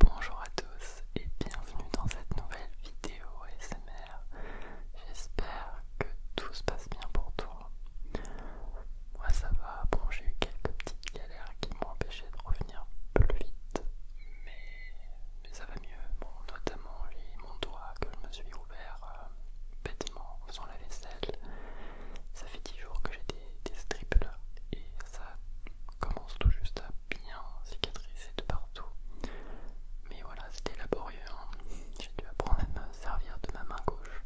Bonjour à tous et bienvenue dans cette nouvelle vidéo ASMR. J'espère que tout se passe bien pour toi. Moi ça va, bon j'ai eu quelques petites galères qui m'ont empêché de revenir plus vite, mais, mais ça va mieux. Bon, notamment mon doigt que je me suis ouvert euh, bêtement en faisant la vaisselle. Ça fait 10 jours que j'ai des, des strips là et ça commence tout juste à bien cicatriser de partout. Mais voilà, c'était laborieux. Hein. J'ai dû apprendre à me servir de ma main gauche.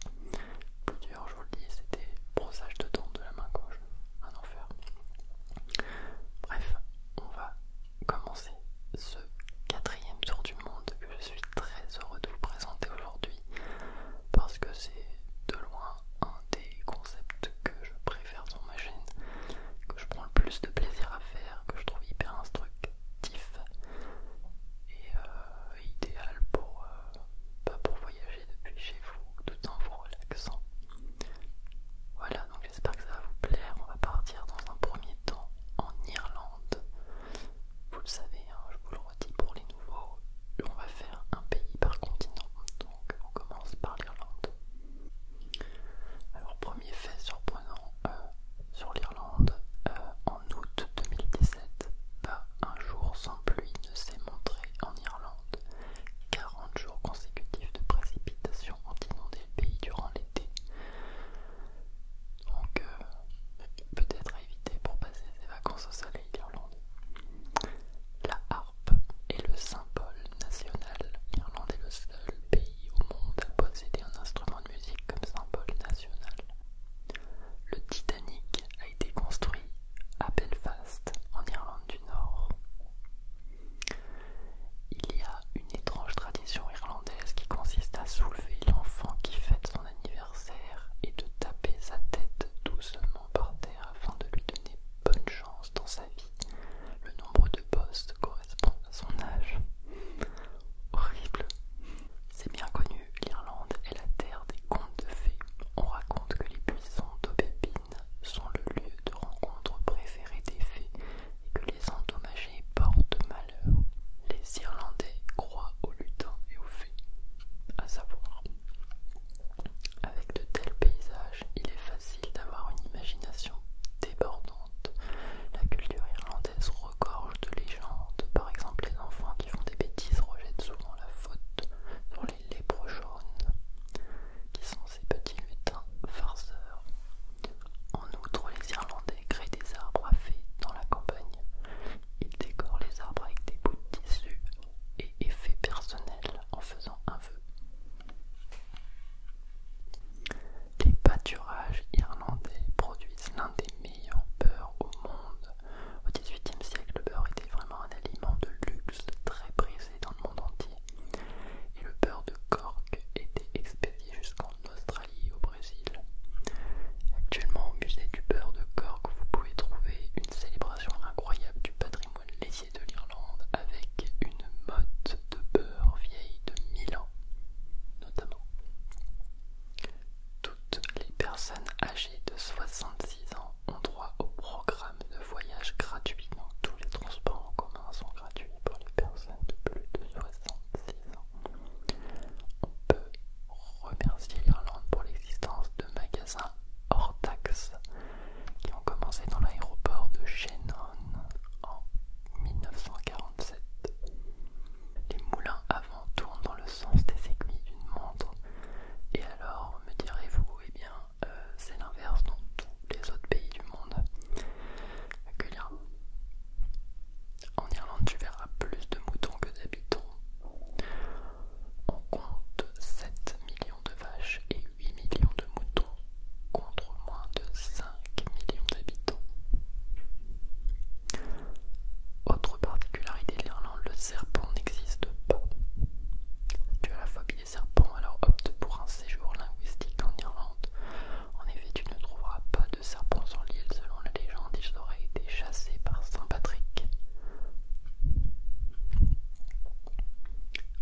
Plusieurs, je vous le dis, c'était brossage de dents de la main gauche. Un enfer. Bref, on va commencer ce quatrième tour du monde je suis très heureux de vous présenter aujourd'hui parce que c'est de loin un des concepts que je préfère sur ma chaîne, que je prends le plus de plaisir à faire, que je trouve hyper instructif et euh, idéal pour, euh, pour voyager depuis chez vous tout en vous relaxant. Voilà, donc j'espère que ça va vous plaire. On va partir dans un premier temps en Irlande. Vous le savez, hein, je vous le redis pour les nouveaux, on va faire un pays par continent. Donc on commence par l'Irlande. Alors premier fait surprenant euh, sur l'Irlande, euh, en août 2017, pas un jour sans pluie ne s'est montré en Irlande. 40 jours consécutifs de précipitations ont inondé le pays durant l'été. Donc euh, peut-être à éviter pour passer ses vacances au soleil l'Irlande est le symbole national. L'Irlande est le seul pays au monde à posséder un instrument de musique comme symbole national. Le Titanic a été construit à Belfast, en Irlande du Nord. Il y a une étrange tradition irlandaise qui consiste à soulever l'enfant qui fête son anniversaire et de taper sa tête doucement par terre afin de lui donner bonne chance dans sa vie. Le nombre de postes correspond à son âge. Horrible. C'est bien connu, l'Irlande est la terre des contes de fées. On raconte que les buissons d'aubépine sont le lieu de rencontre préféré des fées et que les endommagés portent malheur. Les Irlandais croient aux lutins et aux fées. À savoir, avec de tels paysages, il est facile d'avoir une imagination débordante. La culture irlandaise regorge de légendes. Par exemple, les enfants qui font des bêtises rejettent souvent la faute sur les lèvres jaunes, qui sont ces petits lutins farceurs. En outre, les Irlandais créent des arbres à fées dans la campagne. Ils décorent les arbres avec des bouts de tissu et effet personnel en faisant un vœu. Les pâturages irlandais produisent l'un des meilleurs beurs au monde. Au XVIIIe siècle, le beurre était vraiment un aliment de luxe très prisé dans le monde entier. Et le beurre de Cork était expédié jusqu'en Australie et au Brésil. Actuellement, au musée du beurre de Cork, vous pouvez trouver une célébration incroyable du patrimoine de l'Irlande avec une motte de beurre vieille de 1000 ans, notamment. Toutes les personnes âgées de 66 ans ont droit au programme de voyage gratuit, donc tous les transports en commun sont gratuits pour les personnes de plus de 66 ans. On peut remercier l'Irlande pour l'existence de magasins hors taxes qui ont commencé dans l'aéroport de Shannon en 1947. Les moulins avant tournent dans le sens des aiguilles d'une montre. Et alors, me direz-vous, eh bien, euh, c'est l'inverse dans tous les autres pays du monde. en Irlande, tu verras plus de moutons que d'habitants. On compte 7 de vaches et 8 millions de moutons contre moins de 5 millions d'habitants. Autre particularité de l'Irlande, le serpent n'existe pas. Tu as la phobie des serpents, alors opte pour un séjour linguistique en Irlande. En effet, tu ne trouveras pas de serpents sur l'île, selon la légende, ils auraient été chassés par Saint Patrick.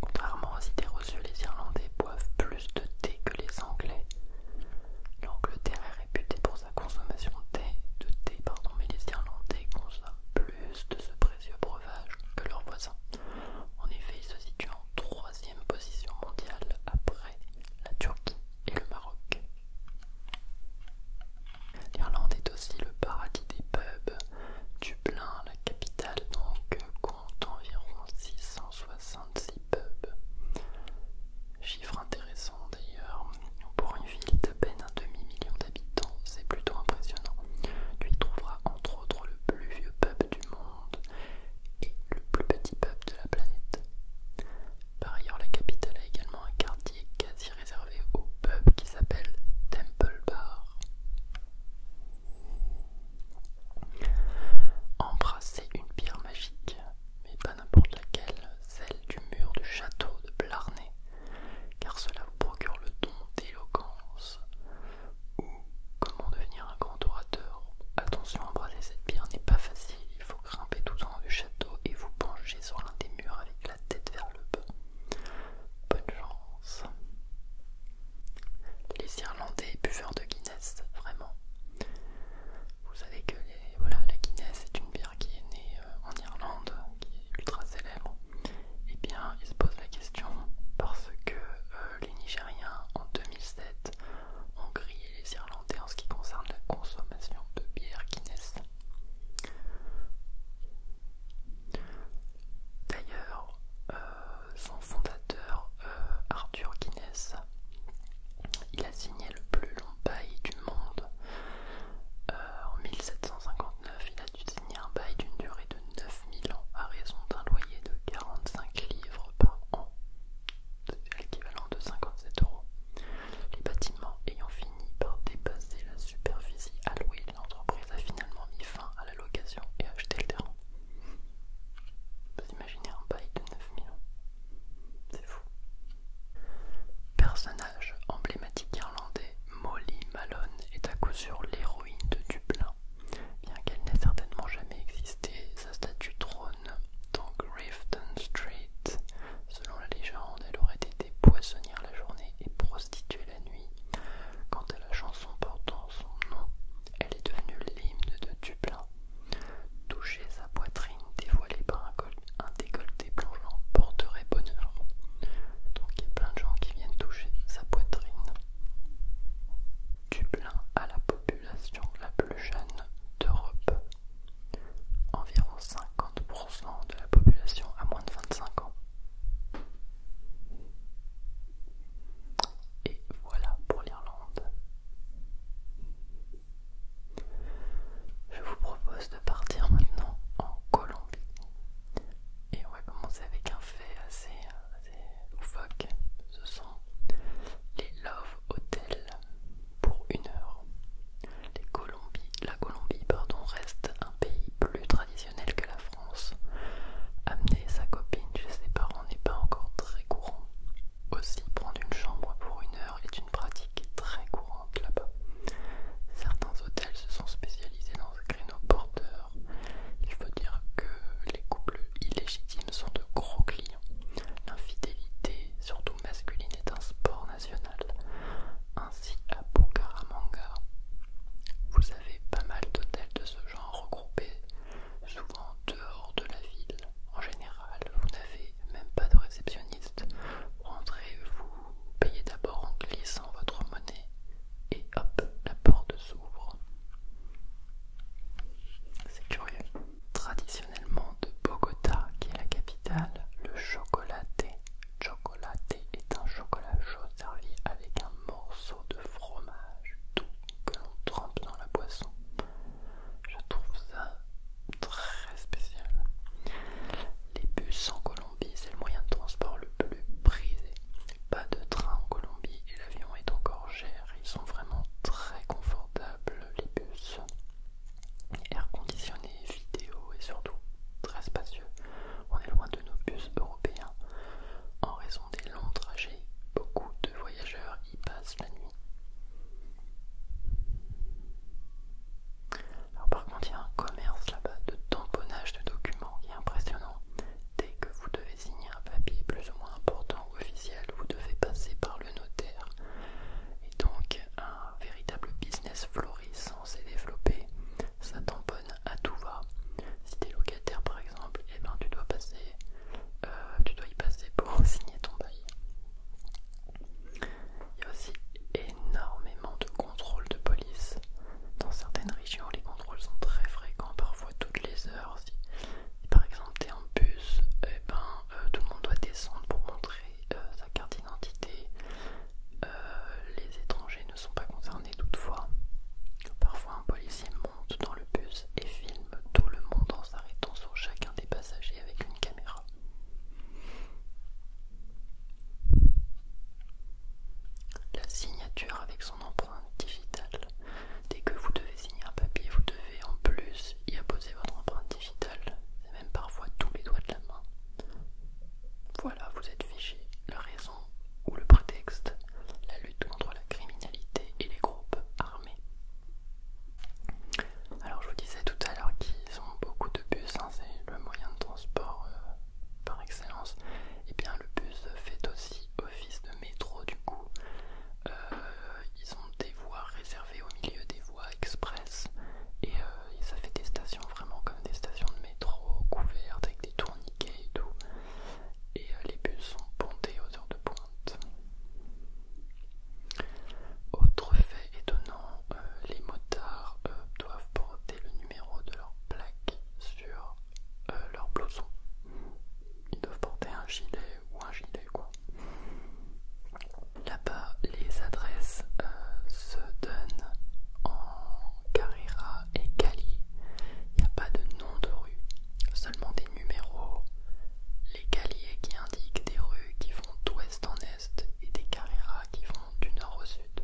Contrairement aux idées reçues, les Irlandais boivent plus de thé que les Anglais. L'Angleterre est réputée pour sa consommation de thé, de thé mais les Irlandais consomment plus de ce précieux breuvage que leurs voisins. En effet, ils se situent en troisième position mondiale après la Turquie et le Maroc. L'Irlande est aussi le paradis des pubs Dublin, la capitale, donc euh, compte environ 666 pubs. Chiffre intéressant d'ailleurs, pour une ville d'à peine un demi-million d'habitants, c'est plutôt impressionnant. Tu y trouveras entre autres le plus vieux pub du monde et le plus petit pub de la planète. Par ailleurs, la capitale a également un quartier quasi réservé aux pubs qui s'appelle Temple Bar. Embrasser une pierre magique, mais pas n'importe laquelle, celle du mur du château de Blarney, car cela vous procure le don d'éloquence. Ou comment devenir un grand orateur Attention, embrasser cette pierre n'est pas facile, il faut grimper tout en haut du château et vous pencher sur l'un des murs avec tête vers le bas. Bonne chance. Les Irlandais buveurs de Guinness, vraiment. Vous savez que les, voilà, la Guinness est une bière qui est née euh, en Irlande, qui est ultra célèbre. Et eh bien, ils se posent la question parce que euh, les Nigériens en 2007 ont grillé les Irlandais en ce qui concerne la consommation de bière Guinness. D'ailleurs, euh, son fondateur euh, Arthur Guinness, il a signé le plus long bail du monde. Euh, en 1759, il a dû signer un bail d'une durée de 9000 ans à raison d'un loyer de 45 livres par an, c'est l'équivalent de 57 euros. Les bâtiments ayant fini par dépasser la superficie Louis. l'entreprise a finalement mis fin à la location et acheté le terrain. Vous imaginez un bail de 9 millions C'est fou. Personnage emblématique irlandais, Molly Malone est à coup sûr l'héroïne de Dublin. Bien qu'elle n'ait certainement jamais existé, sa statue trône dans Grafton Street. Selon la légende, elle aurait été poissonnière la journée et prostituée la nuit. Quant à la chanson portant son nom, elle est devenue l'hymne de Dublin. Toucher sa poitrine dévoilée par un, un décolleté plongeant porterait bonheur. Donc il y a plein de gens qui viennent toucher sa poitrine. Dublin a la population la plus jeune d'Europe. Environ 50% de la population a moins de 25 ans. Et voilà pour l'Irlande. Je vous propose de partir maintenant en Colombie. Et on va commencer avec un fait assez, loufoque. Ce sont les Love Hotels pour une heure. Les la Colombie pardon, reste un pays plus traditionnel que la France. Amener sa copine chez ses parents n'est pas encore très courant. Aussi, prendre une chambre pour une heure est une pratique très courante là-bas. Certains hôtels se sont spécialisés dans ce créneau porteurs Il faut dire que les couples illégitimes sont de gros clients. L'infidélité, surtout masculine, est un sport national. Ainsi, à Bukaramanga, vous vous avez pas mal d'hôtels de ce genre regroupés, souvent dehors de la ville. En général, vous n'avez même pas de réceptionniste. Vous rentrez, vous payez d'abord en glissant votre monnaie et hop, la porte s'ouvre. C'est curieux. Traditionnellement de Bogota, qui est la capitale, le chocolat chocolaté est un chocolat chaud servi avec un morceau de fromage doux que l'on trempe dans la boisson. Je trouve ça très spécial. Les bus en Colombie, c'est le moyen de transport le plus prisé. Pas de train en Colombie et l'avion est encore cher. Ils sont vraiment très confortables, les bus. Air conditionné, vidéo et surtout très spacieux on est loin de nos bus européens. En raison des longs trajets, beaucoup de voyageurs y passent la nuit. par contre, il y a un commerce là-bas de tamponnage de documents qui est impressionnant. Dès que vous devez signer un papier plus ou moins important ou officiel, vous devez passer par le notaire. Et donc, un véritable business florissant s'est développé. Ça tamponne à tout va. Si t'es locataire par exemple, et eh ben tu dois passer, euh, tu dois y passer pour signer ton bail. Il y a aussi énormément de contrôles de police. Dans certaines régions, les contrôles sont très fréquents, parfois toutes les heures. Si, par exemple t'es en bus, et eh ben, euh, tout le monde doit descendre pour montrer euh, sa carte d'identité. Euh, les étrangers ne sont pas concernés toutefois. Parfois un policier monte dans le bus et filme tout le monde en s'arrêtant sur chacun des passagers avec une caméra. La signature avec son empreinte digitale. Dès que vous devez signer un papier, vous devez en plus y apposer votre empreinte digitale, C'est même parfois tous les doigts de la main. Voilà, vous êtes fiché ou le prétexte la lutte contre la criminalité et les groupes armés. Alors je vous disais tout à l'heure qu'ils ont beaucoup de bus, hein, c'est le moyen de transport euh, par excellence. Et eh bien le bus fait aussi office de métro du coup. Euh, ils ont des voies réservées au milieu des voies express et, euh, ça fait des stations vraiment comme des stations de métro couvertes avec des tourniquets et tout. Et euh, les bus sont pontés aux heures de pointe. Autre fait étonnant, euh, les motards euh, doivent porter le numéro de leur plaque sur leur blouson. Ils doivent porter un gilet ou un gilet quoi. Là-bas, les adresses se donnent en carrera et Cali, il n'y a pas de nom de rue, seulement des numéros. Les caliers qui indiquent des rues qui vont d'ouest en est et des carreras qui vont du nord au sud.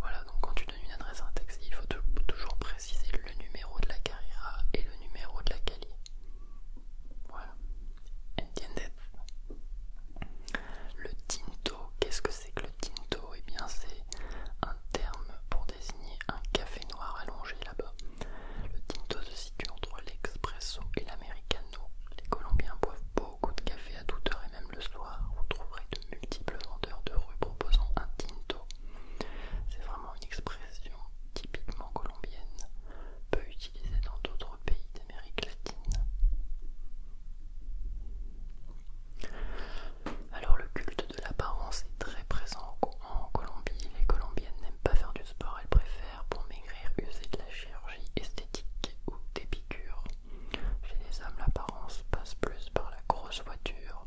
Voilà, donc quand tu donnes une adresse à un taxi, il faut toujours préciser le numéro de la carrera et le numéro de la calie. Voilà. Entiendes. Le tinto. Qu'est-ce que c'est que le tinto Eh bien, c'est un terme pour désigner un café noir allongé là-bas. Le tinto se situe entre l'expresso et l'Americano. Les Colombiens boivent beaucoup de café à toute heure et même le soir. Vous trouverez de multiples vendeurs de rue proposant un tinto. C'est vraiment une expression typiquement colombienne, peu utilisée dans d'autres pays d'Amérique latine. Alors le culte de l'apparence est très présent en Colombie. Les Colombiennes n'aiment pas faire du sport, elles préfèrent pour maigrir user de la chirurgie esthétique ou des piqûres. Chez les hommes, l'apparence passe plus par la grosse voiture.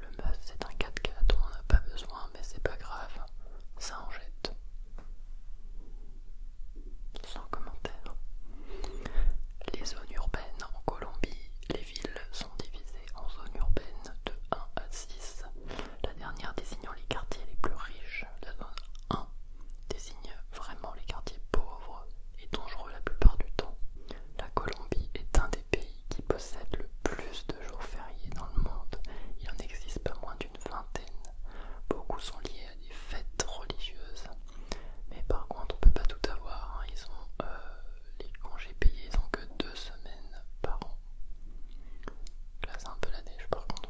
Le mas, c'est un 4x4 on n'a pas besoin, mais c'est pas grave, ça en jette sans commentaire. Les zones urbaines en Colombie, les villes sont divisées en zones urbaines de 1 à 6, la dernière désignant les quartiers les plus riches. La zone 1 désigne vraiment les quartiers pauvres et dangereux la plupart du temps. La Colombie est un des pays qui possède le plus de jours fériés dans le monde. Il en existe pas moins d'une vingtaine. Beaucoup sont liés à des fêtes religieuses mais par contre, on peut pas tout avoir. Hein. Ils ont euh, les congés payés, ils ont que deux semaines par an. Là, c'est un peu la neige par contre.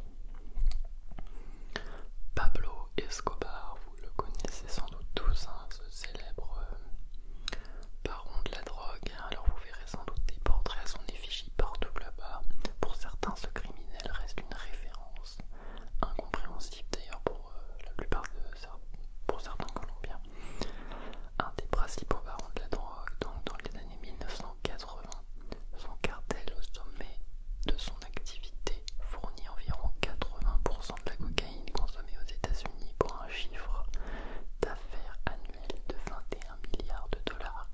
Pablo Escobar, vous le connaissez sans doute tous, hein, ce célèbre euh, baron de la drogue. Alors vous verrez sans doute des portraits à son effigie partout là-bas. Pour certains, ce criminel reste une référence incompréhensible d'ailleurs pour euh, la plupart de pour certains Colombiens, un des principaux barons de la drogue, donc dans les années 1980, son cartel au sommet de son activité fournit environ 80% de la cocaïne consommée aux États-Unis pour un chiffre d'affaires annuel de 21 milliards de dollars.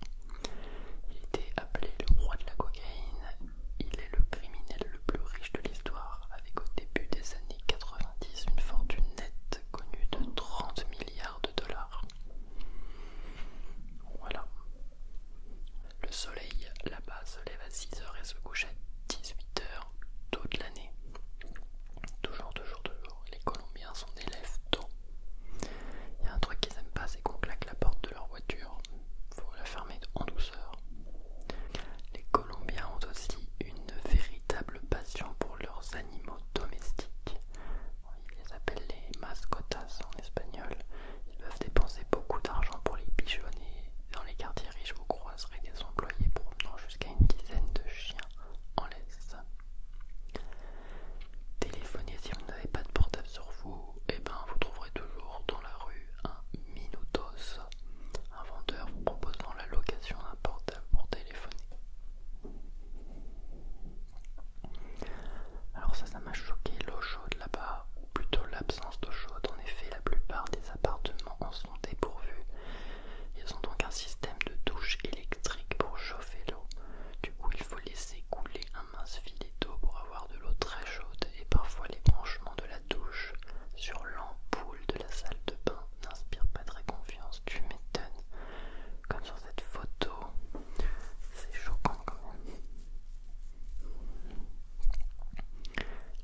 Il était appelé le roi de la cocaïne il est le criminel le plus riche de l'histoire, avec au début des années 90 une fortune nette connue de 30 milliards de dollars. Voilà. Le soleil là-bas se lève à 6h et se couche à 18h toute l'année. Toujours, toujours, toujours. Les Colombiens sont des lèvres tôt. Il y a un truc qu'ils aiment pas, c'est qu'on claque la porte de leur voiture faut la fermer en douceur. Les Colombiens ont aussi une véritable passion pour leurs animaux domestiques. Ils les appellent les mascotas en espagnol. Ils peuvent dépenser beaucoup d'argent pour les pigeonner. Dans les quartiers riches, vous croiserez des employés promenant jusqu'à une dizaine de chiens en laisse. Téléphonez si vous n'avez pas de portable sur vous, et eh ben vous trouverez toujours dans la rue un minutos un vendeur vous proposant la location d'un portable pour téléphoner. Alors ça, ça m'a choqué, l'eau chaude là-bas, ou plutôt l'absence d'eau chaude. En effet, la plupart des appartements en sont dépourvus. Ils ont donc un système de douche électrique pour chauffer l'eau. Du coup, il faut laisser couler un mince filet d'eau pour avoir de l'eau très chaude et parfois les branchements de la douche sur l'ampoule de la salle de bain n'inspire pas très confiance, tu m'étonnes. Comme sur cette photo, c'est choquant quand même.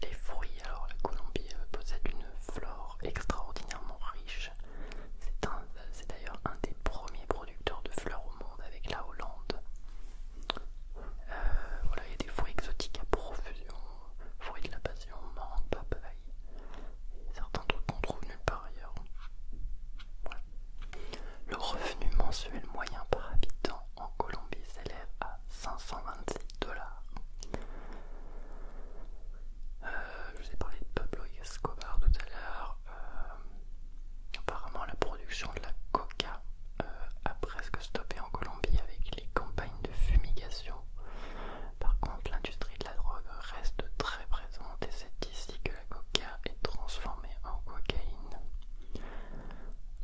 Les fruits, alors la Colombie euh, possède une flore extraordinairement riche. C'est d'ailleurs un des premiers producteurs de fleurs au monde avec la Hollande. Euh, voilà, il y a des fruits exotiques à profusion, fruits de la passion, mangue, papaye, et certains trucs qu'on trouve nulle part ailleurs. Le revenu mensuel moyen par habitant en Colombie s'élève à 526 dollars. Euh, je vous ai parlé de Pablo Escobar tout à l'heure. Euh, apparemment, la production de la coca euh, a presque stoppé en Colombie avec les campagnes de fumigation. Par contre, l'industrie de la drogue reste très présente et c'est ici que la coca est transformée en cocaïne.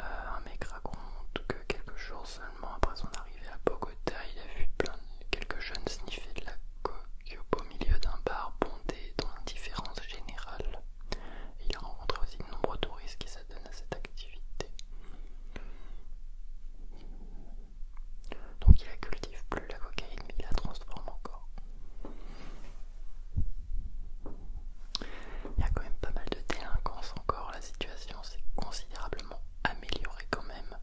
Euh, un mec raconte que quelques jours seulement après son arrivée à Bogota, il a vu plein de, quelques jeunes sniffer de la coca au milieu d'un bar bondé dans différence générale. il a rencontré aussi de nombreux touristes qui donne à cette activité. Donc il la cultive plus la cocaïne, mais il la transforme encore. Il y a quand même pas mal de délinquance encore, la situation s'est considérablement améliorée quand même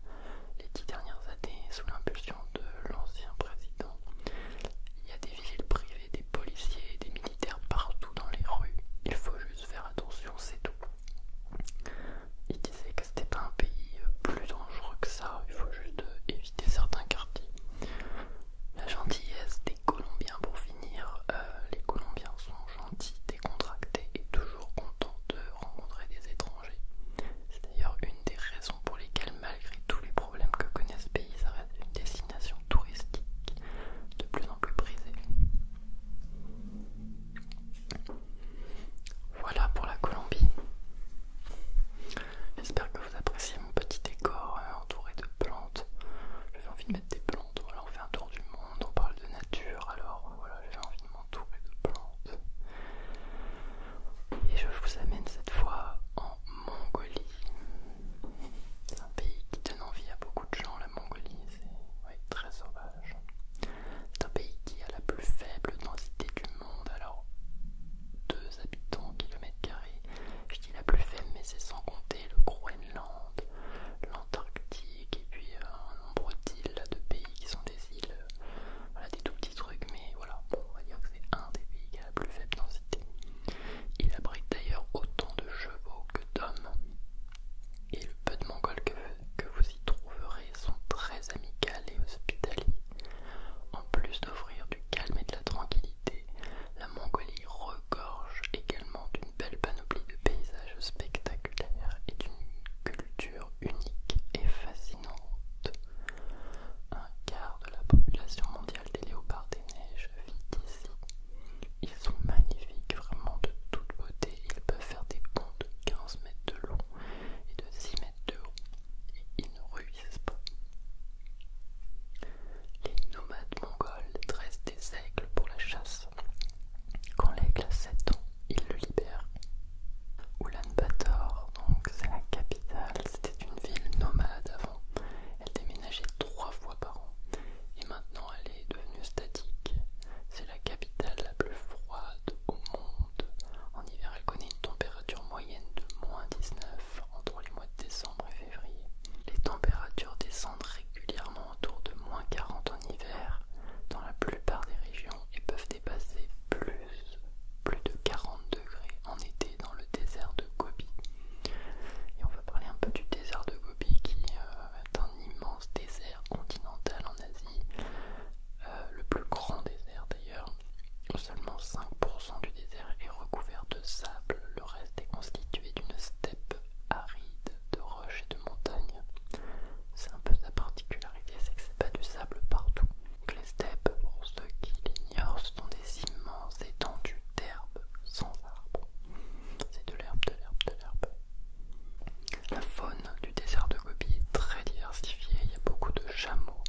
les dix dernières années sous l'impulsion de l'ancien président. Il y a des villes privées, des policiers, des militaires partout dans les rues. Il faut faire attention, c'est tout. Il disait que c'était un pays euh, plus dangereux que ça, il faut juste euh, éviter certains quartiers. La gentillesse des Colombiens pour finir, euh, les Colombiens sont gentils, décontractés et toujours contents de rencontrer des étrangers. C'est d'ailleurs une des raisons pour lesquelles, malgré tous les problèmes que connaît ce pays, ça reste une destination touristique de plus en plus brisée. Voilà pour la Colombie. J'espère que vous appréciez mon petit décor hein, entouré de plantes. J'avais envie de mettre des plantes. on fait un tour du monde, on parle de nature. Alors voilà, j'avais envie de m'entourer de plantes. Et je vous amène cette fois en Mongolie. C'est un pays qui donne envie à beaucoup de gens, la Mongolie, c'est très sauvage. C'est un pays qui a la plus faible densité du monde, alors 2 habitants au kilomètre Je dis la plus faible, mais c'est sans compter le Groenland, l'Antarctique, et puis euh, un nombre d'îles de pays qui sont des îles, euh, des tout petits trucs, mais voilà, on va dire que c'est un des pays qui a la plus faible densité. Il abrite d'ailleurs autant de chevaux que d'hommes et le peu de mongols que, vous y trouverez sont très amicales et hospitaliers. En plus d'offrir du calme et de la tranquillité, la Mongolie regorge également d'une belle panoplie de paysages spectaculaires et d'une culture unique et fascinante. Un quart de la population mondiale des léopards des neiges ils sont magnifiques, vraiment de toute beauté. Ils peuvent faire des ponts de 15 mètres de long et de 6 mètres de haut. Et ils ne ruissent pas. Les nomades mongols dressent des aigles pour la chasse. Quand l'aigle a 7 ans, ils le libèrent. Ulaanbaatar, donc c'est la capitale, c'était une ville nomade avant. Elle déménageait 3 fois par an et maintenant elle est devenue statique. C'est la capitale la plus froide au monde. En hiver, elle connaît une température moyenne de moins 19 entre les mois de décembre et février. Les températures descendent régulièrement autour de moins 40 en hiver dans la plupart des régions et peuvent dépasser plus, plus de 40 degrés en été dans le désert de Gobi. Et on va parler un peu du désert de Gobi qui... Euh, euh, un immense désert continental en Asie, euh, le plus grand désert d'ailleurs. Seulement 5% du désert est recouvert de sable, le reste est constitué d'une steppe aride de roches et de montagnes. C'est un peu sa particularité, c'est que c'est pas du sable partout. les steppes, pour ceux qui l'ignorent, sont des immenses étendues d'herbe sans arbre. C'est de l'herbe, de l'herbe, de l'herbe. La faune du désert de Gobi est très diversifiée, il y a beaucoup de chameaux.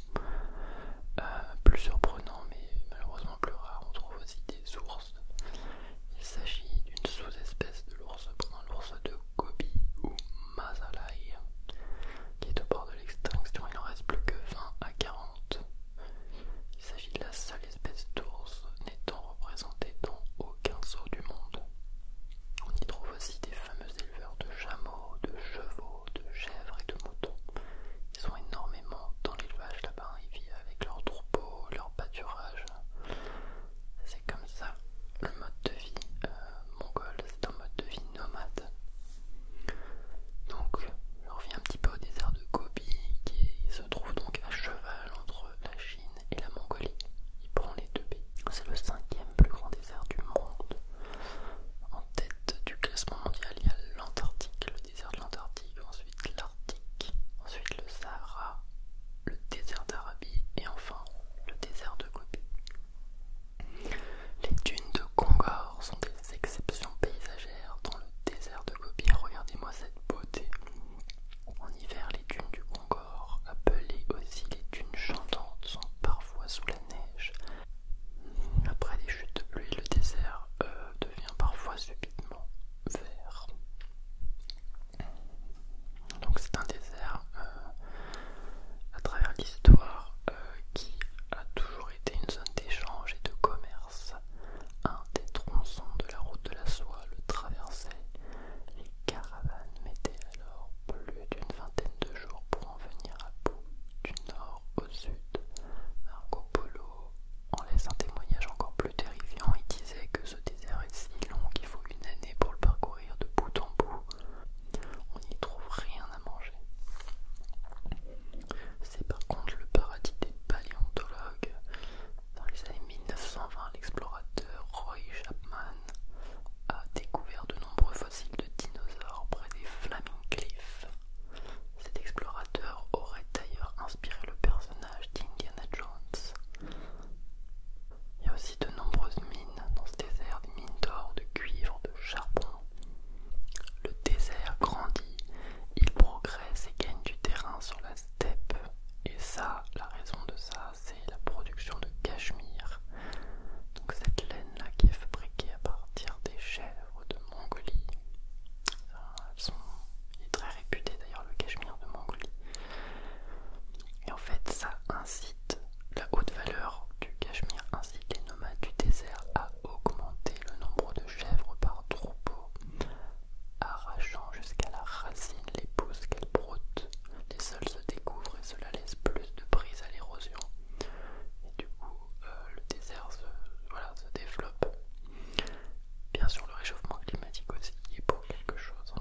Euh, plus surprenant, mais malheureusement plus rare, on trouve aussi des ours. Il s'agit d'une sous-espèce de l'ours pendant l'ours de Gobi ou Masalai, qui est au bord de l'extinction, il n'en reste plus que 20 à 40. Il s'agit de la seule l'espèce d'ours n'étant représentée dans aucun zoo du monde. On y trouve aussi des fameux éleveurs de chameaux, de chevaux, de chèvres et de moutons. Ils sont énormément dans l'élevage là-bas, hein. ils vivent avec leurs troupeaux, leurs pâturages. C'est comme ça le mode de vie euh, mongol, c'est un mode de vie nomade. Donc, je reviens un petit peu au désert de Gobi qui se trouve donc à cheval entre la Chine et la Mongolie. Il prend les deux baies. C'est le cinquième plus grand désert du monde. En tête du classement mondial, il y a l'Antarctique, le désert de l'Antarctique, ensuite l'Arctique, ensuite le Sahara, le désert d'Arabie et enfin le désert de Gobi. Les dunes de Kongor sont des exceptions paysagères dans le désert de Gobi. Regardez-moi cette beauté. En hiver, les dunes du Congo appelées aussi les dunes chantantes, sont parfois sous la neige. Après des chutes de pluie, le désert euh, devient parfois subitement vert. Donc c'est un désert euh, à travers l'histoire euh, qui a toujours été une zone d'échange et de commerce un des tronçons de la route de la soie le traversait. Les caravanes mettaient alors plus d'une vingtaine de jours pour en venir à bout, du nord au sud. Marco Polo, en laisse un témoignage encore plus terrifiant, il disait que ce désert est si long qu'il faut une année pour le parcourir de bout en bout. On n'y trouve rien à manger. C'est par contre le paradis des paléontologues, dans les années 1920, l'explorateur Roy Chapman a découvert de nombreux fossiles de dinosaures près des Flaming Cliffs. Cet explorateur aurait d'ailleurs inspiré le personnage d'Indiana Jones. Il y a aussi de nombreuses mines dans ce désert, des mines d'or, de cuivre, de charbon. Le désert grandit, il progresse et gagne du terrain sur la steppe. Et ça, la raison de ça, c'est la production de cachemire. Donc cette laine-là qui est fabriquée à partir des chèvres de Mongolie. est très réputé d'ailleurs le cachemire de Mongolie. Et en fait, ça incite la haute valeur du cachemire incite les nomades du désert à augmenter le nombre de chèvres par troupeau arrachant jusqu'à la racine les pousses qu'elles broutent. Les sols se découvrent et cela laisse plus de prise à l'érosion. Et du coup, euh, le désert se, développe. Bien sûr, le réchauffement climatique aussi est pour quelque chose.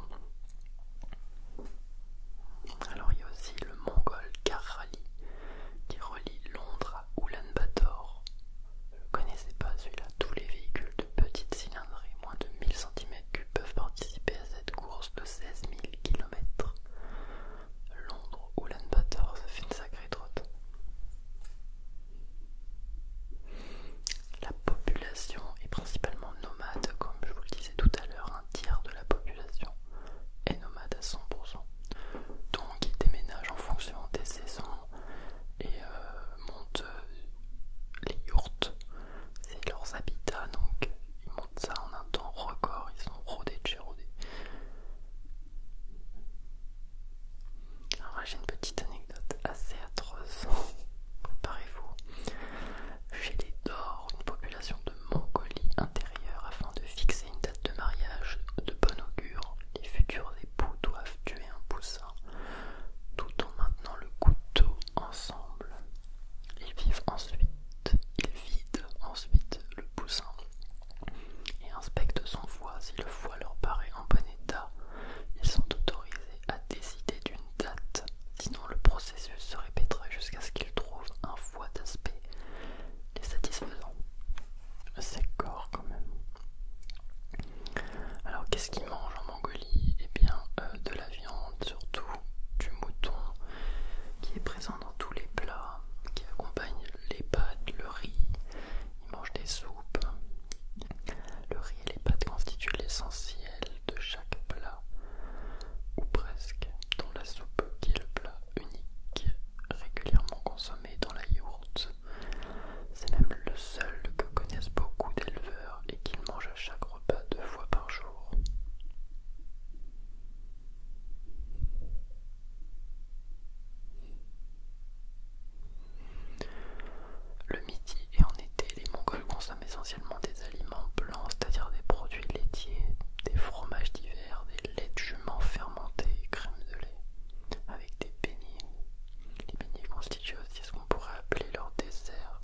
Alors, il y a aussi le mongol Karali qui relie Londres à Ulaanbaatar ne connaissez pas celui-là, tous les véhicules de petite cylindrée, moins de 1000 cm3, peuvent participer à cette course de 16 000 km. Londres ou Bator, ça fait une sacrée trotte. La population est principalement nomade, comme je vous le disais tout à l'heure, un tiers de la population est nomade à 100%. Donc ils déménagent en fonction des saisons, et euh, montent euh, les yourtes, c'est leurs habitats donc ils montent ça en un temps record, ils sont rodés de Alors j'ai une petite anecdote assez atroce, préparez-vous. Chez les Dors, une population de Mongolie intérieure, afin de fixer une date de mariage de bon augure, les futurs époux doivent tuer un poussin, tout en maintenant le couteau ensemble. Ils vivent ensuite, ils vident ensuite le poussin et inspectent son foie. Si le foie leur paraît en bon état, ils sont autorisés à décider d'une date, sinon le processus se répéterait jusqu'à ce qu'ils trouvent un foie d'aspect les satisfaisant. C'est corps quand même. Alors qu'est-ce qu'ils mangent en Mongolie Eh bien euh, de la viande, surtout du mouton, qui est présent dans tous les plats, qui accompagne les pâtes, le riz. Ils mangent des soupes. Le riz et les pâtes constituent l'essentiel de chaque plat, ou presque, dans la soupe qui est le plat unique régulièrement consommé dans la yaourt c'est même le seul que connaissent beaucoup d'éleveurs et qu'ils mangent à chaque repas deux fois par jour. Le midi et en été, les Mongols consomment essentiellement des aliments blancs, c'est-à-dire des produits laitiers, des fromages divers, des laits de jument fermentés et crème de lait, avec des beignets. Les beignets constituent aussi pourrait appeler leur dessert.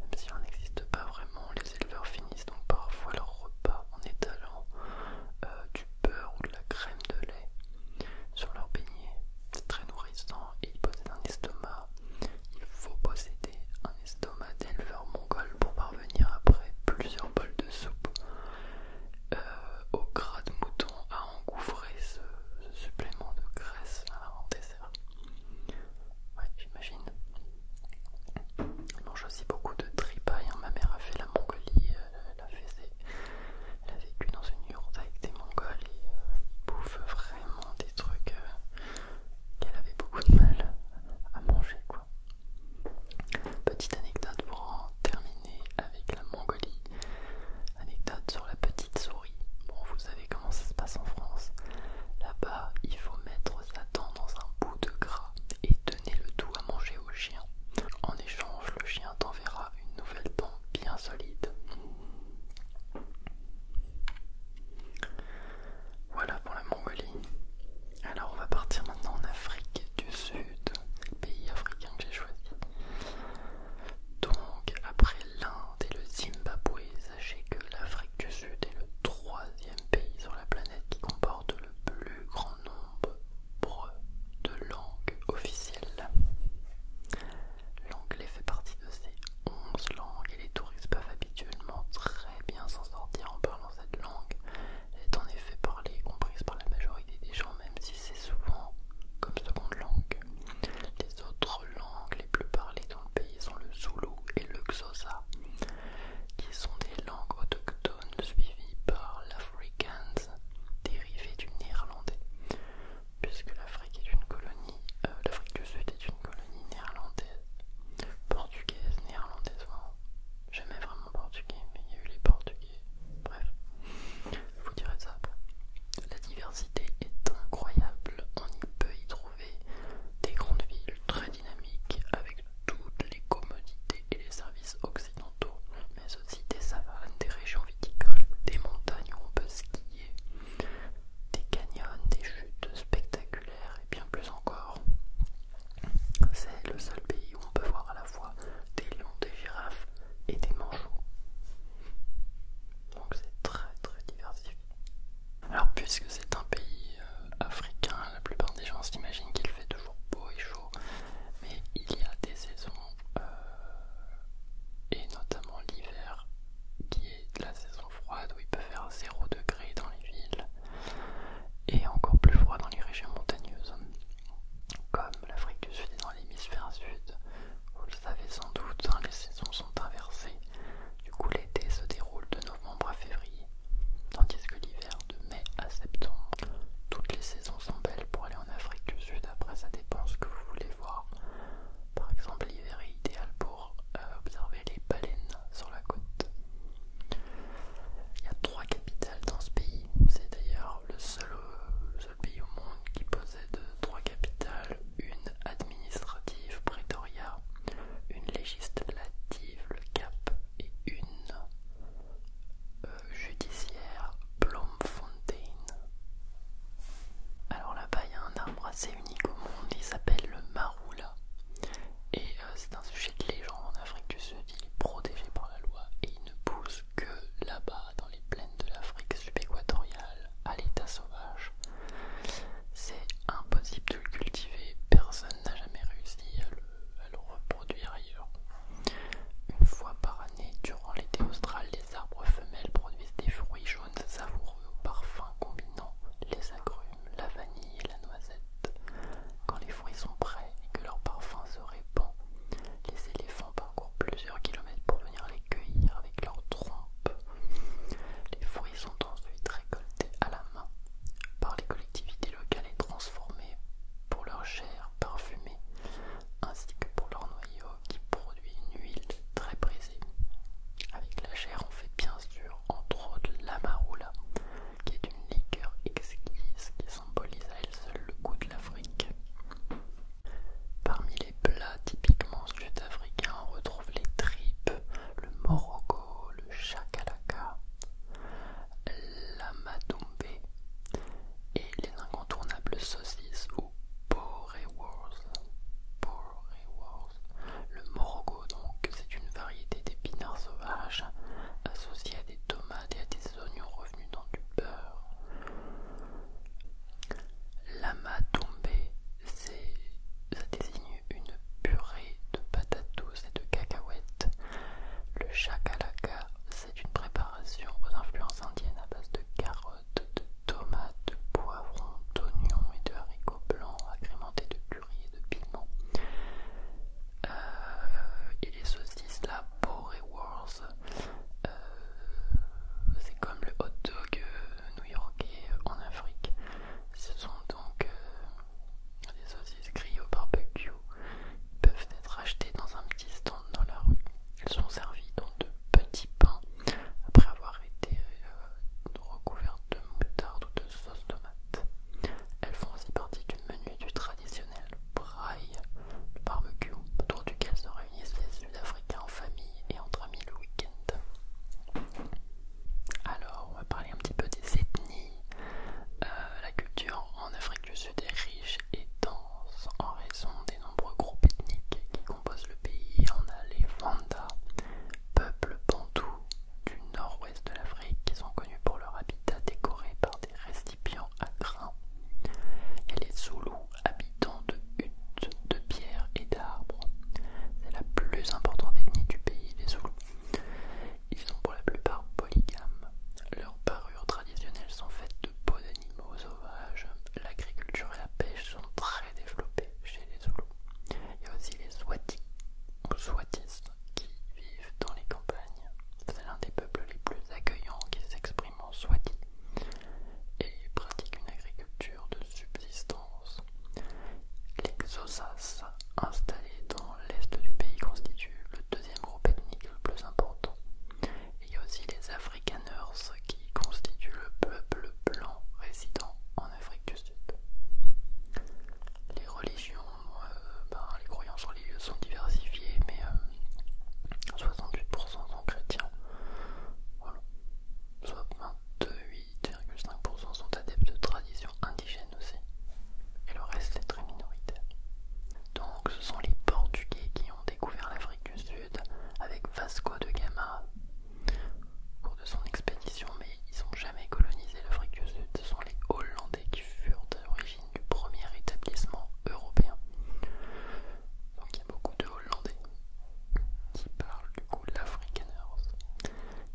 Même s'il n'en existe pas vraiment, les éleveurs finissent donc parfois leur repas en étalant euh, du beurre ou de la crème de lait sur leur beignet. C'est très nourrissant et ils possèdent un estomac. Il faut posséder un estomac d'éleveur mongol pour parvenir après plusieurs bols de soupe euh, au gras de mouton à ce, supplément de graisse en dessert. Ouais, j'imagine. mange aussi beaucoup de tripaille. Hein. Ma mère a fait la Mongolie, euh, elle, a vécu dans une urne avec des Mongols et euh, vraiment des trucs euh, qu'elle avait beaucoup de mal à manger quoi. Petite anecdote pour en terminer avec la Mongolie. Anecdote sur la petite souris. Bon, vous savez comment ça se passe en France. Là-bas, il faut mettre sa dent dans un bout de gras et donner le tout à manger au chien. En échange, le chien t'enverra une nouvelle dent bien solide. Voilà pour la Mongolie. Alors on va partir maintenant en Afrique du Sud, pays africain que j'ai choisi. Donc après l'Inde et le Zimbabwe. Sachez que l'Afrique du Sud est le troisième pays sur la planète qui comporte le plus grand nombre de langues officielles. L'anglais fait partie de ces 11 langues et les touristes peuvent habituellement très bien s'en sortir en parlant cette langue. Elle est en effet parlée et comprise par la majorité des gens, même si c'est souvent comme seconde langue. Les autres langues les plus parlées dans le pays sont le Zulu et le xhosa, qui sont des langues autochtones suivies par l'afrikaans, dérivé du néerlandais, puisque l'Afrique est une colonie, euh, l'Afrique du Sud est une colonie néerlandaise, portugaise, néerlandaise, j'aimais Jamais vraiment portugais, mais il y a eu les portugais, bref vous direz ça La diversité est incroyable, on y peut y trouver des grandes villes très dynamiques avec toutes les commodités et les services occidentaux, mais aussi des savanes, des régions viticoles, des montagnes où on peut skier, des canyons, des chutes spectaculaires et bien plus encore. C'est le seul pays où on peut voir à la fois des lions, des girafes et des manchots donc c'est très très diversifié. Alors puisque c'est un pays euh, africain, la plupart des gens s'imaginent qu'il fait toujours beau et chaud, mais il y a des saisons, euh, et notamment l'hiver, qui est la saison froide où il peut faire 0 degré dans les villes, et encore plus froid dans les régions montagneuses, comme l'Afrique du Sud et dans l'hémisphère sud, vous le savez sans doute, hein, les saisons sont inversées. Du coup, l'été se déroule de novembre à février, tandis que l'hiver de mai à septembre. Toutes les saisons sont belles pour aller en Afrique du Sud. Après, ça dépend ce que vous voulez voir. Par exemple, l'hiver est idéal pour euh, observer les baleines sur la côte. Il y a trois capitales dans ce pays. C'est d'ailleurs le seul, euh, pays au monde qui possède trois capitales, une administrative, Pretoria, une législative, le Cap, et une euh, judiciaire, Bloemfontein. Alors là-bas, il y a un arbre assez unique au monde, il s'appelle le Marula. Et euh, c'est un sujet de légende en Afrique du Sud, il est protégé par la loi et il ne pousse que là-bas, dans les plaines de l'Afrique subéquatoriale, à l'état sauvage. C'est impossible de le cultiver, personne n'a jamais réussi à le, reproduire ailleurs. Une fois par année, durant l'été austral, les arbres femelles produisent des fruits jaunes savoureux au parfum combinant les agrumes, la vanille et la noisette. Quand les fruits sont prêts et que leur parfum se répand, les éléphants pas parcourt plusieurs kilomètres pour venir les cueillir avec leurs trompes. Les fruits sont ensuite récoltés à la main par les collectivités locales et transformés pour leur chair parfumée ainsi que pour leur noyau qui produit une huile très brisée. Avec la chair, on fait bien sûr entre autres l'amarula qui est une liqueur exquise qui symbolise à elle seule le goût de l'Afrique. Parmi les les plats typiquement sud-africains, on retrouve les tripes, le morogo, le chakalaka, madumbe et les incontournables saucisses ou poreworth. Le morogo donc, c'est une variété d'épinards sauvages associés à des tomates et à des oignons revenus dans du beurre. Lama tombée, ça désigne une purée de patates et de cacahuètes. Le chakalaka, c'est une préparation aux influences indiennes à base de carottes, de tomates, de poivrons, d'oignons et de haricots blancs agrémentés de curry et de piment. Euh, et les saucisses, la euh, c'est comme le hot dog euh, new-yorkais euh, en Afrique. Ce sont donc des saucisses grillées au barbecue. peuvent être achetées dans un petit stand dans la rue. Elles sont servies dans de petits pains après avoir été recouvertes de moutarde ou de sauce tomate. Elles font aussi partie du menu du traditionnel braille, barbecue, autour duquel se réunissent les africains en famille et entre amis le week-end. Alors, on va parler un petit peu des ethnies. Euh, la culture en Afrique du Sud est riche et dense en raison des nombreux groupes ethniques qui composent le pays. On a les Wanda, peuple bantou du nord-ouest de l'Afrique, qui sont connus pour leur habitat décoré par des récipients à grains. Et les Zoulous, habitants de huttes, de pierres et d'arbres. C'est la plus importante ethnie du pays, les Zoulous. Ils sont pour la plupart polygames. Leurs parures traditionnelles sont faites de peaux d'animaux sauvages. L'agriculture et la pêche sont très développées chez les Zoulous. Il y a aussi les Swatis ou qui vivent dans les campagnes. C'est l'un des peuples les plus accueillants qui s'expriment soit dit, et pratique une agriculture de subsistance. Les osas installés dans l'est du pays, constituent le deuxième groupe ethnique le plus important. Il y a aussi les Afrikaners qui constituent le peuple blanc résident en Afrique du Sud. Les religions, euh, ben, les croyances religieuses sont diversifiées, mais 68% euh, sont chrétiens, soit 28,5% sont adeptes de traditions indigènes aussi, et le reste est très minoritaire. Donc ce sont les Portugais qui ont découvert l'Afrique du Sud avec Vasco de Gama au cours de son expédition, mais ils n'ont jamais colonisé l'Afrique du Sud. Ce sont les Hollandais qui furent à l'origine du premier établissement européen. Donc il y a beaucoup de Hollandais qui parle du coup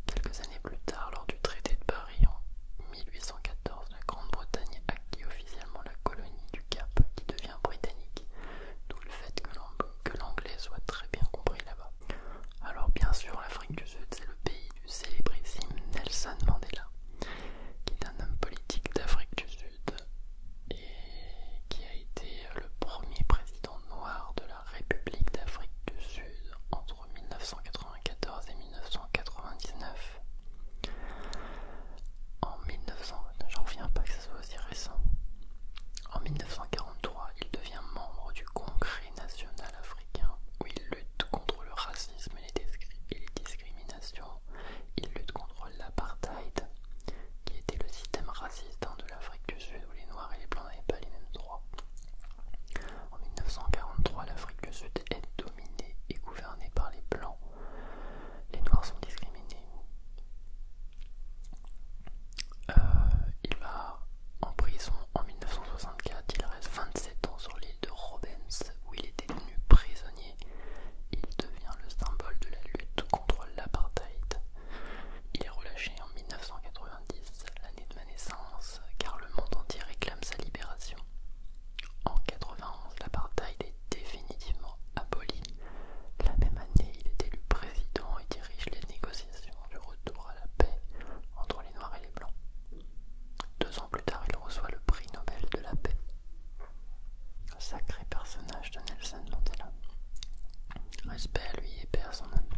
Quelques années plus tard, lors du traité de Paris en 1814, la Grande-Bretagne acquit officiellement la colonie du Cap qui devient britannique, d'où le fait que l'anglais soit très bien compris là-bas. Alors bien sûr, l'Afrique du Sud, c'est le pays du célébrissime Nelson Mandela, qui est un homme politique d'Afrique du Sud et qui a été le premier président noir de la République d'Afrique du Sud entre 1994 et 1999. En pas que soit aussi récent. En 1943, il devient membre du Congrès national africain où il lutte contre le racisme et les discriminations il lutte contre l'apartheid, qui était le système raciste hein, de l'Afrique du Sud où les Noirs et les Blancs n'avaient pas les mêmes droits. En 1943, l'Afrique du Sud est dominée et gouvernée par les Blancs. Les Noirs sont discriminés. Euh, il va en prison en 1964. Il reste 27 ans sur l'île de Robens où il est détenu prisonnier il devient le symbole de la lutte contre l'apartheid. Il est relâché en 1990, l'année de ma naissance, car le monde entier réclame sa libération. En 1991, l'apartheid est définitivement aboli. La même année, il est élu président et dirige les négociations du retour à la paix entre les Noirs et les Blancs. Deux ans plus tard, il reçoit le prix Nobel de la paix. Sacré personnage de Nelson Mandela. Respect à lui et paix à son âme.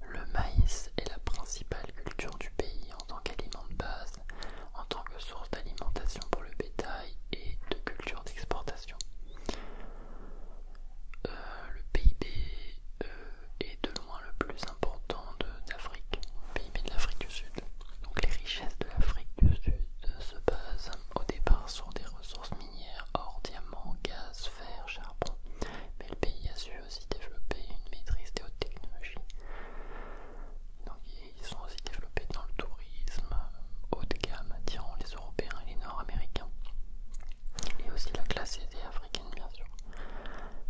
Le maïs est la principale culture du pays en tant qu'aliment de base, en tant que source d'alimentation pour le bétail et de culture d'exportation. Euh, le PIB euh, est de loin le plus important d'Afrique, PIB de l'Afrique du Sud. Donc les richesses de l'Afrique du Sud euh, se base au départ sur des ressources minières, or, diamant, gaz, fer, charbon, mais le pays a su aussi développer une maîtrise des hautes technologies. ils sont aussi développés dans le tourisme haut de gamme, attirant les Européens et les Nord-Américains. Et aussi la classe aisée africaine, bien sûr.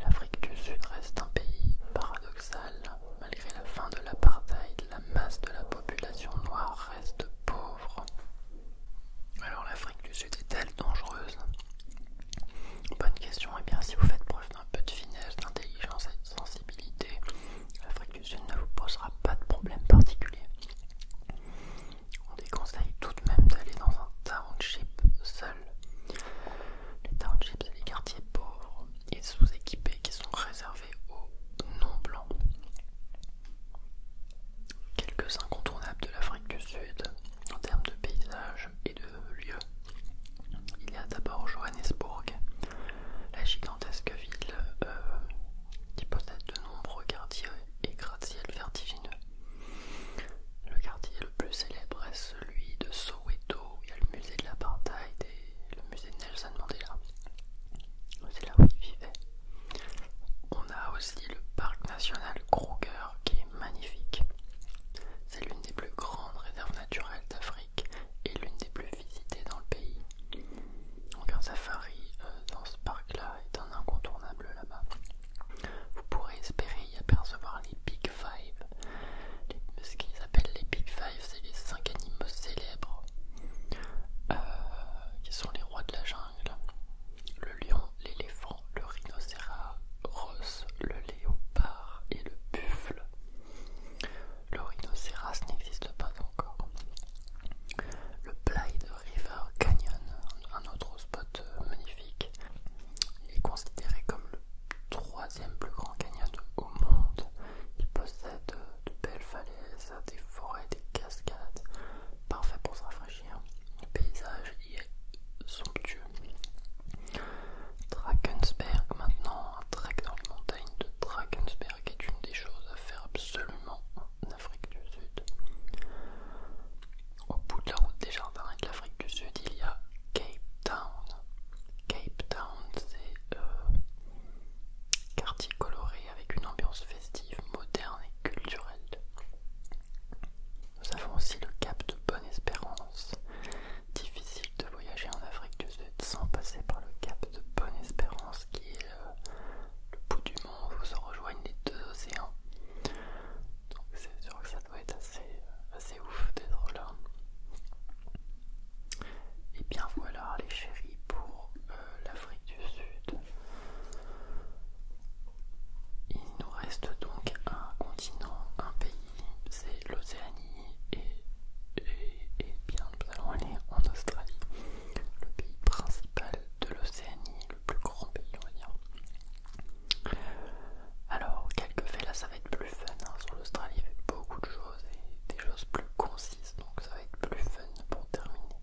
L'Afrique du Sud reste un pays paradoxal malgré la fin de l'apartheid, la masse de la population noire reste pauvre. Alors l'Afrique du Sud est-elle dangereuse Bonne question. Eh bien, si vous faites preuve d'un peu de finesse, d'intelligence et de sensibilité, l'Afrique du Sud ne vous posera pas de problème particulier. On déconseille tout de même d'aller dans un township seul. Les townships, c'est les quartiers pauvres et sous-équipés qui sont réservés aux non-blancs. Quelques incontournables de l'Afrique du Sud en termes de paysages et de lieux. Il y a d'abord Johannesburg, la gigantesque ville euh, qui possède de nombreux quartiers et gratte-ciels vertigineux. Le quartier le plus célèbre est celui de Soweto. Il y a le musée de l'apartheid et le musée Nelson Mandela. C'est là où il vivait. On a aussi le parc national Kruger qui est magnifique. C'est l'une des plus grandes réserves naturelles d'Afrique et l'une des plus visitées dans le pays. Donc un safari euh, dans ce parc-là est un incontournable là-bas. Vous pourrez espérer y apercevoir les Big Five, ce qu'ils appellent les Big Five c'est les 5 animaux célèbres euh, qui sont les rois de la jungle le lion, l'éléphant, le rhinocéros, le léopard et le buffle. Le rhinocéros n'existe pas encore. Le Blide River Canyon, un autre spot euh, magnifique, est considéré comme le troisième plus grand canyon au monde. Il possède de belles falaises des forêts, des cascades, parfait pour se rafraîchir. Le paysage y est somptueux. Drakensberg maintenant, un trek dans les montagnes de Drakensberg est une des choses à faire absolument en Afrique du Sud. Au bout de la route des jardins et de l'Afrique du Sud, il y a Cape Town. Cape Town, c'est euh, quartier coloré avec une ambiance festive, moderne et culturelle. Nous avons aussi le cap de Bonne-Espérance. Difficile de voyager en Afrique du Sud sans passer par le cap de Bonne-Espérance qui est le, bout du monde où se rejoignent les deux océans. Donc c'est sûr que ça doit être assez, assez ouf d'être là. Et bien voilà les chéris pour euh, l'Afrique du Sud. Il nous reste donc un continent, un pays, c'est l'Océanie et, et, bien nous allons aller en Australie, le pays principal de l'Océanie, le plus grand pays on va dire. Alors quelques faits là ça va être plus fun hein. sur l'Australie il avec beaucoup de choses et des choses plus concises donc ça va être plus fun pour terminer.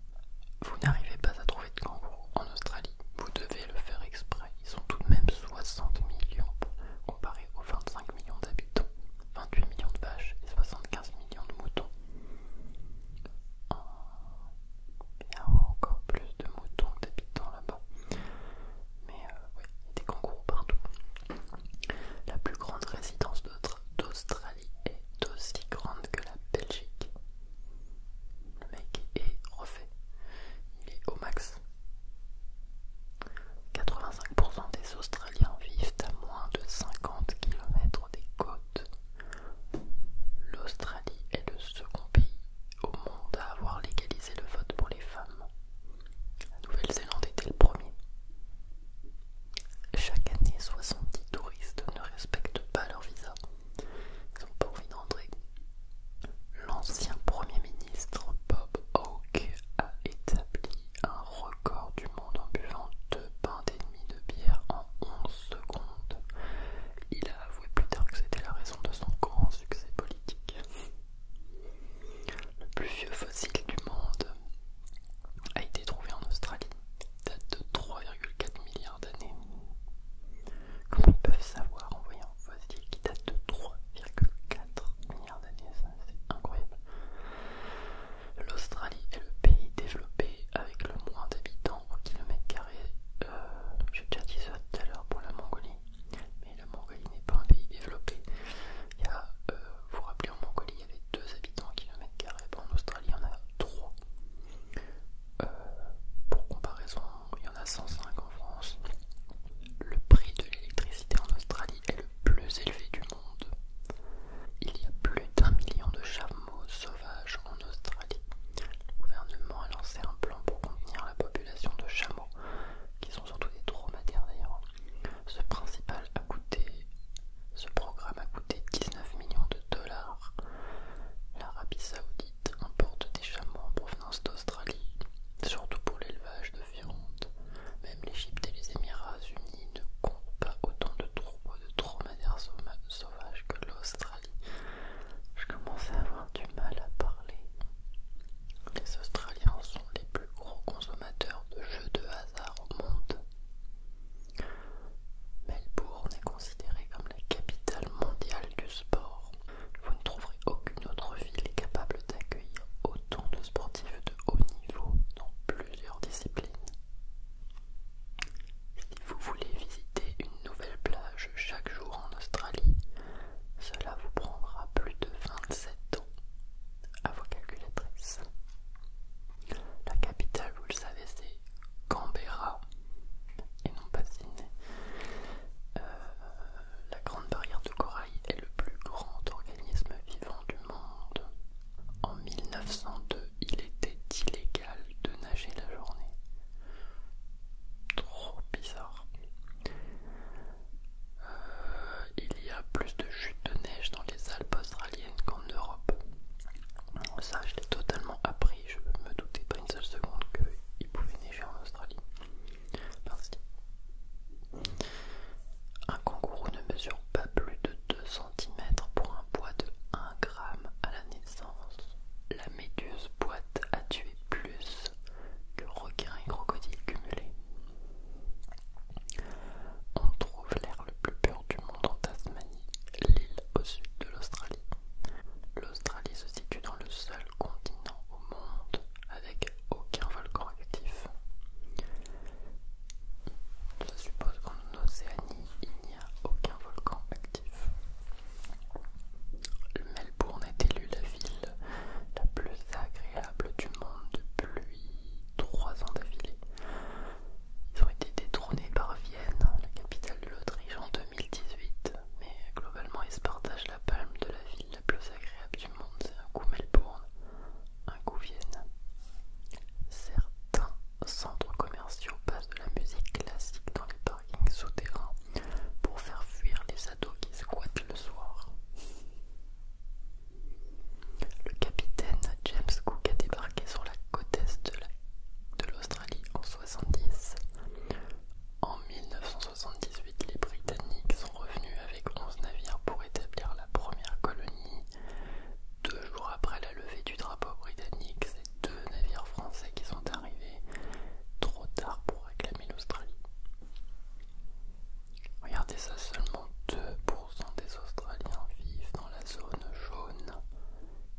Vous n'arrivez pas à trouver de kangourous en Australie, vous devez le faire exprès. Ils sont tout de même 60 millions comparés aux 25 millions d'habitants, 28 millions de vaches et 75 millions de moutons. Ah, il y a encore plus de moutons d'habitants là-bas. Mais euh, oui, il y a des kangourous partout. La plus grande résidence d'Australie est aussi grande que la Belgique. Le mec est refait. Il est au max. 85% des Australiens vivent à moins de 50 km des côtes. L'Australie est le second pays au monde à avoir légalisé le vote pour les femmes. La Nouvelle-Zélande était le premier. Chaque année, 70 touristes ne respectent pas leur visa. Ils n'ont pas envie d'entrer. L'ancien Premier ministre Bob Hawke a établi un record du monde en buvant deux pains et de bière en 11 secondes. Il a avoué plus tard que c'était la raison de son grand succès politique. Le plus vieux fossile du monde a été trouvé en Australie, date de 3,4 milliards d'années. Comment ils peuvent savoir en voyant un fossile qui date de 3,4 milliards d'années C'est incroyable. L'Australie est le pays développé avec le moins d'habitants au kilomètre carré. Euh, J'ai déjà dit ça tout à l'heure pour la Mongolie, mais la Mongolie n'est pas un pays développé. Euh, vous vous rappelez, en Mongolie, il y avait 2 habitants au kilomètre carré. En Australie, il y en a 3. Euh, pour comparaison, il y en a 105 en France. Le prix de l'électricité en Australie est le plus élevé du monde. Il y a plus d'un million de chameaux sauvages en Australie. Le gouvernement a lancé un plan pour contenir la population de chameaux, qui sont surtout des dromadaires d'ailleurs, ce principal a coûté, ce programme a coûté 19 millions de dollars. L'Arabie Saoudite importe des chameaux en provenance d'Australie, surtout pour l'élevage de viande. Même l'Égypte et les Émirats Unis ne comptent pas autant de troupeaux de dromadaires sauvages que l'Australie. Je commence à avoir du mal à parler. Les Australiens sont les plus gros consommateurs de jeux de hasard au monde. Melbourne est considérée comme la capitale mondiale du sport. Vous ne trouverez aucune autre ville capable d'accueillir autant de sportifs de haut niveau dans plusieurs disciplines. Si vous voulez visiter une nouvelle plage chaque jour en Australie, cela vous prendra plus de 27 ans à vos calculatrices. La capitale, vous le savez, c'est Canberra et non pas Sydney. Euh, la grande barrière de corail est le plus grand organisme vivant du monde. En 1902, il était illégal de nager la journée. Trop bizarre. Euh, il y a plus de chutes de neige dans les Alpes australiennes qu'en Europe. Ça, je l'ai totalement appris. Je me doutais pas une seule seconde qu'il pouvait neiger en Australie. Un kangourou ne mesure pas plus de 2 cm pour un poids de 1 g à la naissance. La méduse boîte a tué plus que requins et crocodiles cumulés. On trouve l'air le plus pur du monde en Tasmanie, l'île au sud de l'Australie. L'Australie se situe dans le seul continent au monde avec aucun volcan actif. Ça suppose qu'en Océanie, il n'y a aucun volcan actif. Melbourne est élu la ville la plus agréable du monde de pluie. 3 ans d'affilée. Ils ont été détrônés par Vienne, la capitale de l'Autriche, en 2018. Mais globalement, ils se partagent la palme de la ville la plus agréable du monde. C'est un coup Melbourne, un coup Vienne. Certains centres commerciaux passent de la musique classique dans les parkings souterrains pour faire fuir les ados qui squattent le soir. Le capitaine James Cook a débarqué sur la côte est de l'Australie en 1970. En 1978, les Britanniques sont revenus avec onze navires pour établir la première colonie. Deux jours après la levée du drapeau britannique, c'est deux navires français qui sont arrivés trop tard pour réclamer l'Australie. Regardez ça, seulement 2% des Australiens vivent dans la zone jaune.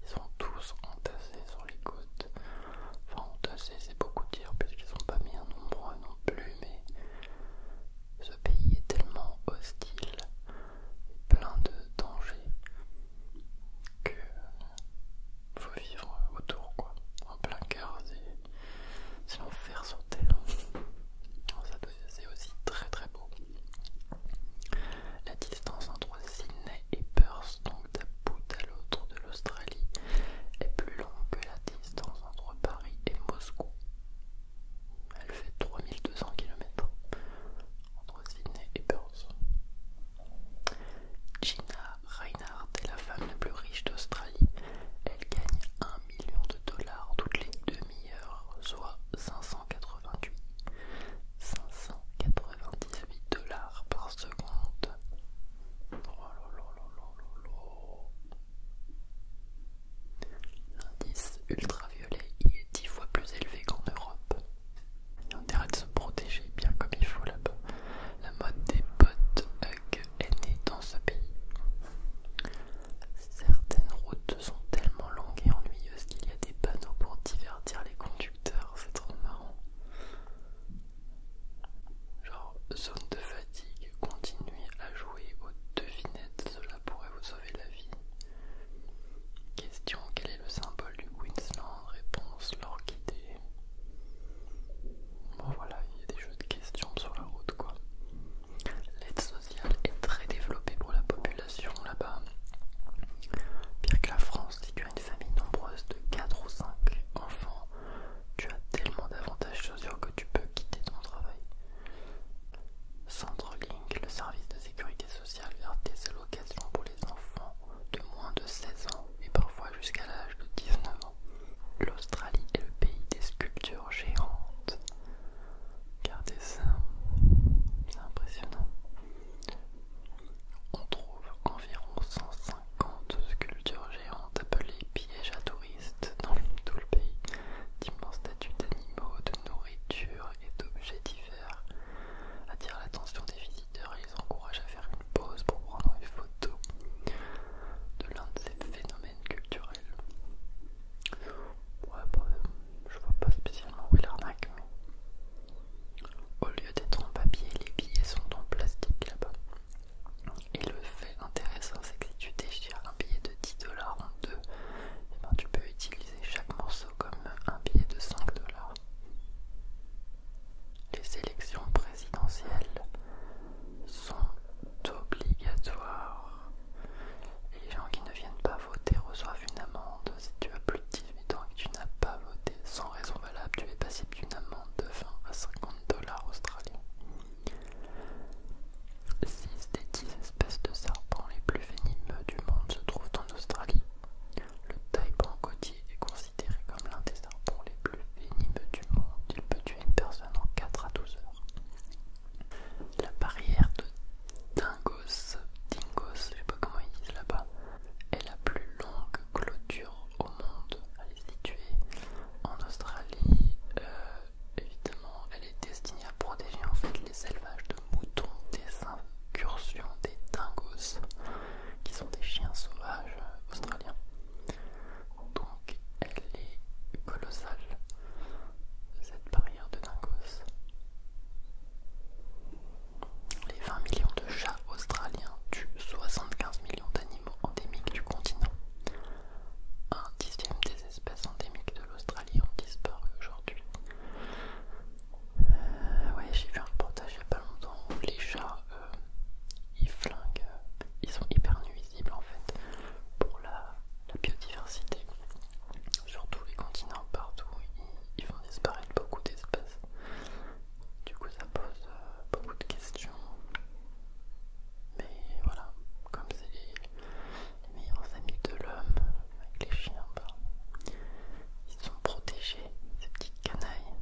Ils sont tous entassés sur les côtes. Enfin, entassés, c'est beaucoup dire, puisqu'ils sont pas bien nombreux non plus, mais ce pays est tellement hostile et plein de dangers que faut vivre autour, quoi. En plein cœur, c'est l'enfer sur terre. Oh, c'est aussi très très beau. La distance entre Sydney et Perth, donc d'un bout à l'autre de l'Australie, est plus longue que la distance entre Paris et Moscou. Elle fait 3200 km entre Sydney et Perth. Gina Reinhardt est la femme la plus riche d'Australie. Elle gagne 1 million de dollars toutes les deux soit 588, 598 dollars par seconde. L'indice ultraviolet y est 10 fois plus élevé qu'en Europe. Il y intérêt de se protéger bien comme il faut là-bas. La mode des potes Hug est née dans ce pays. Certaines routes sont tellement longues et ennuyeuses qu'il y a des panneaux pour divertir les conducteurs, c'est trop marrant. Genre zone de fatigue, continuez à jouer aux devinettes, cela pourrait vous sauver la vie. Question quel est le symbole du Queensland Réponse l'orchidée. Bon voilà, il y a des jeux de questions sur la route quoi. L'aide sociale est très développée pour la population là-bas. Pire que la France, si tu as une famille nombreuse de 4 ou 5 enfants, tu as tellement d'avantages sociaux que tu peux quitter ton travail. Centrelink, le service de sécurité sociale, vers des allocations pour les enfants de moins de 16 ans et parfois jusqu'à l'âge de 19 ans. L'Australie est le pays des sculptures géantes. Regardez ça, c'est impressionnant. On trouve environ 150 sculptures géantes appelées pièges à touristes dans tout le pays, d'immenses statues d'animaux, de nourriture et d'objets divers attirent l'attention des visiteurs et les encouragent à faire une pause pour prendre une photo de l'un de ces phénomènes culturelle Ouais, bah, je vois pas spécialement où est l'arnaque, mais. Au lieu d'être en papier, les billets sont en plastique là-bas. Et le fait intéressant, c'est que si tu déchires un billet de 10 dollars en deux, et eh ben, tu peux utiliser chaque morceau comme un billet de 5 dollars. Les élections présidentielles sont obligatoires les gens qui ne viennent pas voter reçoivent une amende. Si tu as plus de 18 ans et que tu n'as pas voté sans raison valable, tu es passible d'une amende de 20 à 50 dollars australiens. 6 des 10 espèces de serpents les plus venimeux du monde se trouvent en Australie. Le taipan côtier est considéré comme l'un des serpents les plus venimeux du monde. Il peut tuer une personne en 4 à 12 heures. La barrière de Dingos, Dingos, je sais pas comment ils disent là-bas, est la plus longue clôture au monde. Elle est située en Australie. Euh, évidemment, elle est destinée à protéger en fait les élevages de moutons des incursions des Dingos, qui sont des chiens sauvages australiens. Donc elle est colossale, cette barrière de Dingos. Les 20 millions de chats australiens tuent 75 millions d'animaux endémiques du continent. Un dixième des espèces endémiques de l'Australie ont disparu aujourd'hui. Euh, ouais, j'ai vu un reportage il n'y a pas longtemps où les chats, euh, ils flinguent, ils sont hyper nuisibles en fait pour la la biodiversité sur tous les continents, partout, ils, vont disparaître beaucoup d'espèces. Du coup, ça pose euh, beaucoup de questions. Mais voilà, comme c'est les, meilleurs amis de l'homme, avec les chiens, ben, ils sont protégés, ces petites canailles.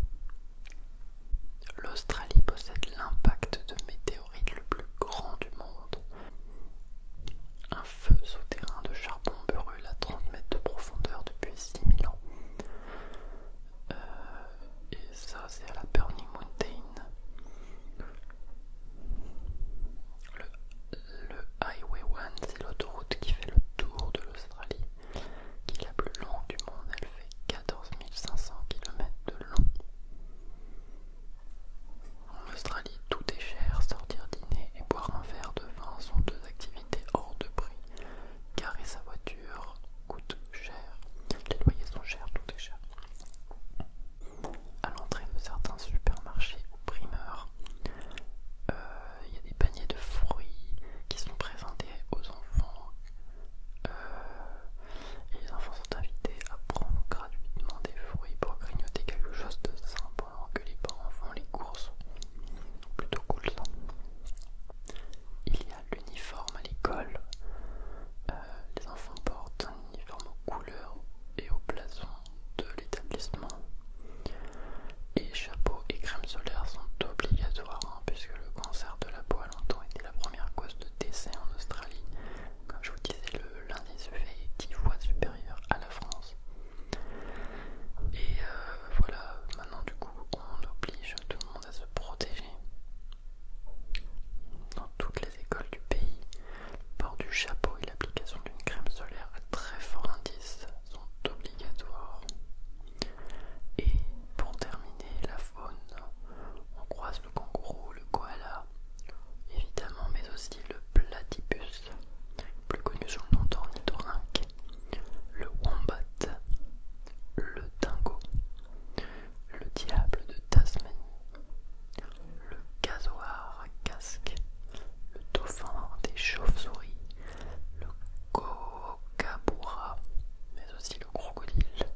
L'Australie possède l'impact de météorite le plus grand du monde. Un feu souterrain de charbon brûle à 30 mètres de profondeur depuis 6000 ans. Euh, et ça, c'est à la Burning Mountain. Le, Highway 1, c'est l'autoroute qui fait le tour de l'Australie, qui est la plus longue du monde. Elle fait cinq cents km de long. En Australie, tout est cher, sortir dîner et boire un verre de vin sont deux activités hors de prix. Garer sa voiture coûte cher, les loyers sont chers, tout est cher. À l'entrée de certains supermarchés ou primeurs, euh, il y a des paniers de fruits qui sont présentés aux enfants. Euh, et les enfants sont invités à prendre gratuitement des fruits pour grignoter quelque chose de sain alors que les parents font les courses. Plutôt cool ça. Il y a l'uniforme à l'école. Euh, les enfants portent un uniforme aux couleurs et au blason de l'établissement. Et chapeau et crème solaire sont obligatoires hein, puisque le cancer de la peau a longtemps été la première cause de décès en Australie comme je vous disais, l'indice fait 10 fois supérieur à la France. Et euh, voilà, maintenant du coup, on oblige tout le monde à se protéger. Dans toutes les écoles du pays, le port du chapeau et l'application d'une crème solaire à très fort indice sont obligatoires. Et pour terminer, la faune, on croise le kangourou, le koala, évidemment, mais aussi le Platypus, plus connu sous le nom d'ornithorynque, le Wombat, le Dingo, le Diable de Tasmanie, le Casoar casque, le Dauphin des chauves-souris, le cocabura, mais aussi le crocodile,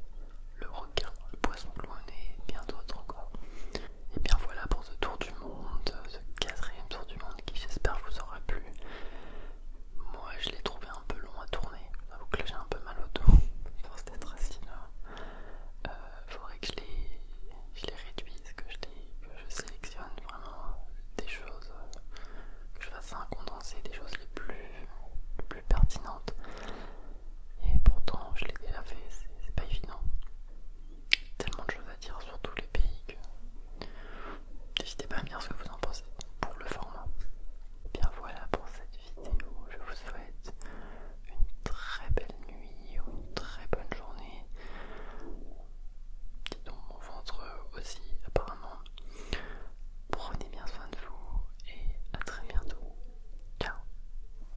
le requin, le poisson cloné et bien d'autres encore. Et bien voilà pour ce tour du monde, ce quatrième tour du monde qui j'espère vous aura plu. Moi je l'ai trouvé un peu long à tourner, j'avoue que j'ai un peu mal au dos, force d'être assis là. Il faudrait que je les, réduise, que je, sélectionne vraiment des choses, que je fasse un condensé des choses les plus pertinentes. Et pourtant, je l'ai déjà fait, c'est pas évident. Tellement de choses à dire sur tous les pays que n'hésitez pas à me dire ce que vous en pensez pour le format. bien voilà pour cette vidéo. Je vous souhaite une très belle nuit ou une très bonne journée. Dis donc, mon ventre aussi, apparemment. Prenez bien soin de vous et à très bientôt. Ciao!